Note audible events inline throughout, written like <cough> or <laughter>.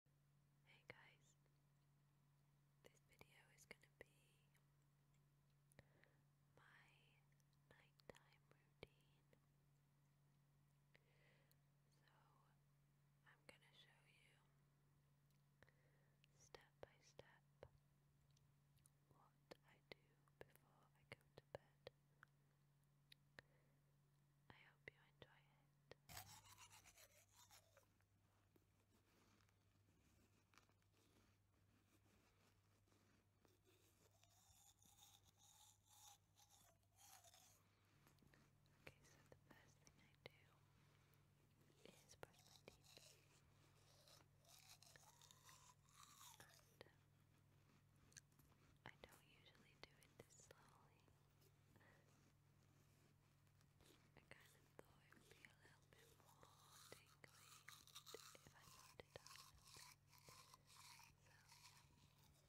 Hey guys, this video is going to be my nighttime routine. So, I'm going to show you step by step what I do before I go to bed. I hope you enjoy it. Okay, so the first thing I do is brush my teeth. And um, I don't usually do it this slowly. I kind of thought it would be a little bit more tingly if I loaded it down a little me brushing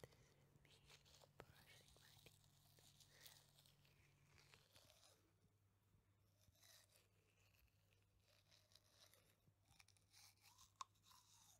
my teeth.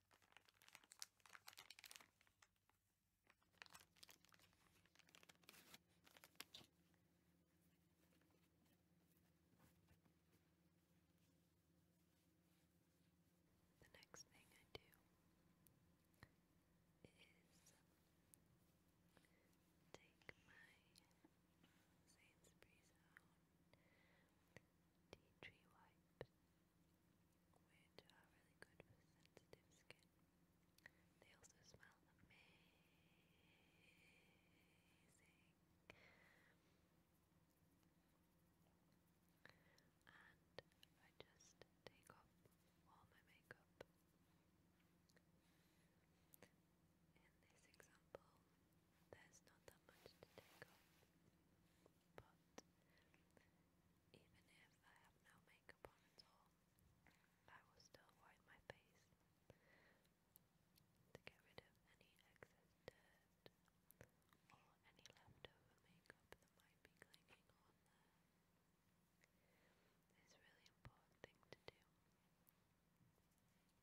The next thing I do is take my Sainsbury's out tea tree wipes, which are really good for sensitive skin. They also smell amazing. And I just take off all my makeup. In this example, there's not that much to take off. But even if I have no makeup on at all, I will still wipe my face to get rid of any excess dirt or any leftover makeup that might be clinging on It's really important thing to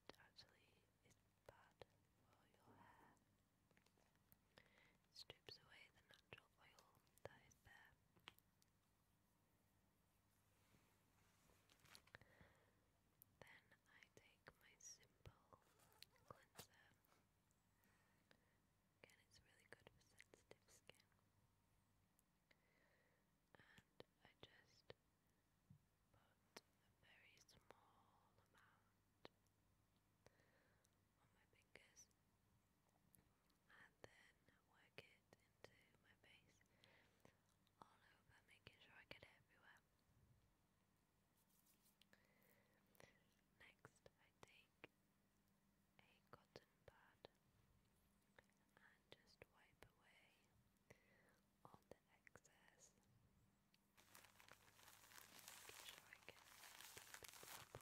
it actually is bad for your hair. It strips away the natural oil that is there. Then I take my simple cleanser. Again, it's really good for sensitive skin and I just put a very small amount on my fingers and then work it into my face all over, making sure I get everywhere. Next, I take a cotton pad and just wipe away all the excess. Make sure I get the well. cleansed. Cleansed, cleansed, cleansed,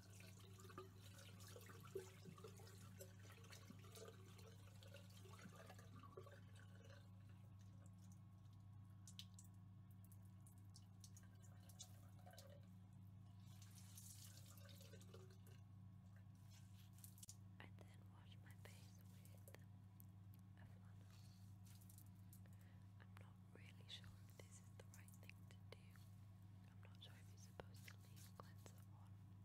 And then wash my face with uh, a flannel. I'm not really sure this is the right thing to do. I'm not sure if you're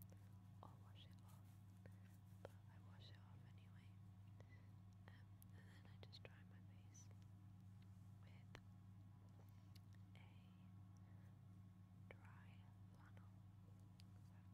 supposed to leave cleanser on or wash it off, but I wash it off anyway. Um, and then I just dry my face with a dry flannel. So I've got a wet one and a dry one. <laughs>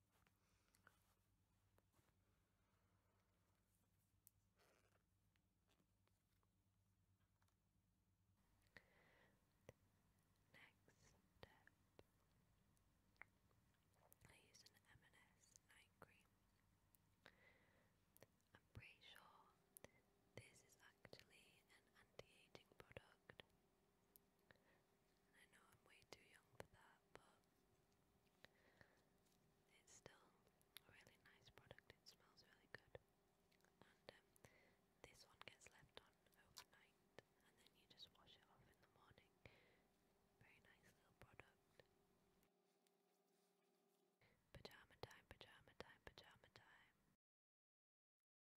Next step, I use an M&S night cream. I'm pretty sure this is actually an anti-aging product I know I'm way too young for that, but it's still a really nice product. It smells really good. And um, this one gets left on overnight, and then you just wash it off in the morning. Very nice little product. Pajama time, pajama time, pajama time.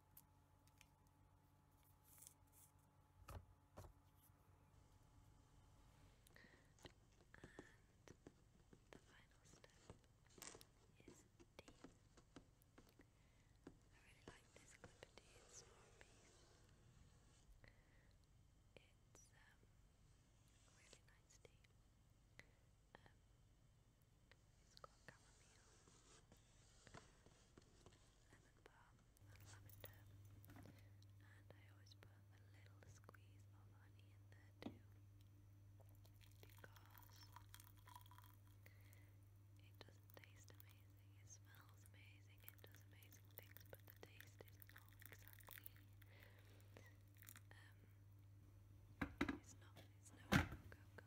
And the final step is D. I really like this clipper D, it's not a piece. It's um, really nice tea. Um, it's got lavender. And I always put a little squeeze of honey in there too, because it doesn't amazing. It smells amazing. It does amazing things, but the taste is not exactly. Um, it's not. It's no cocoa. Let's put it that way.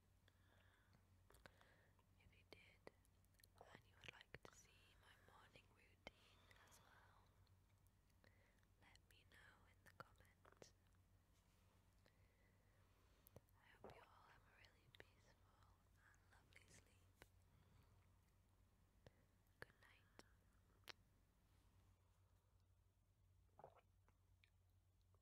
If you did, and you would like to see my morning routine as well, let me know in the comments. I hope you all have a really peaceful and lovely sleep. Good night.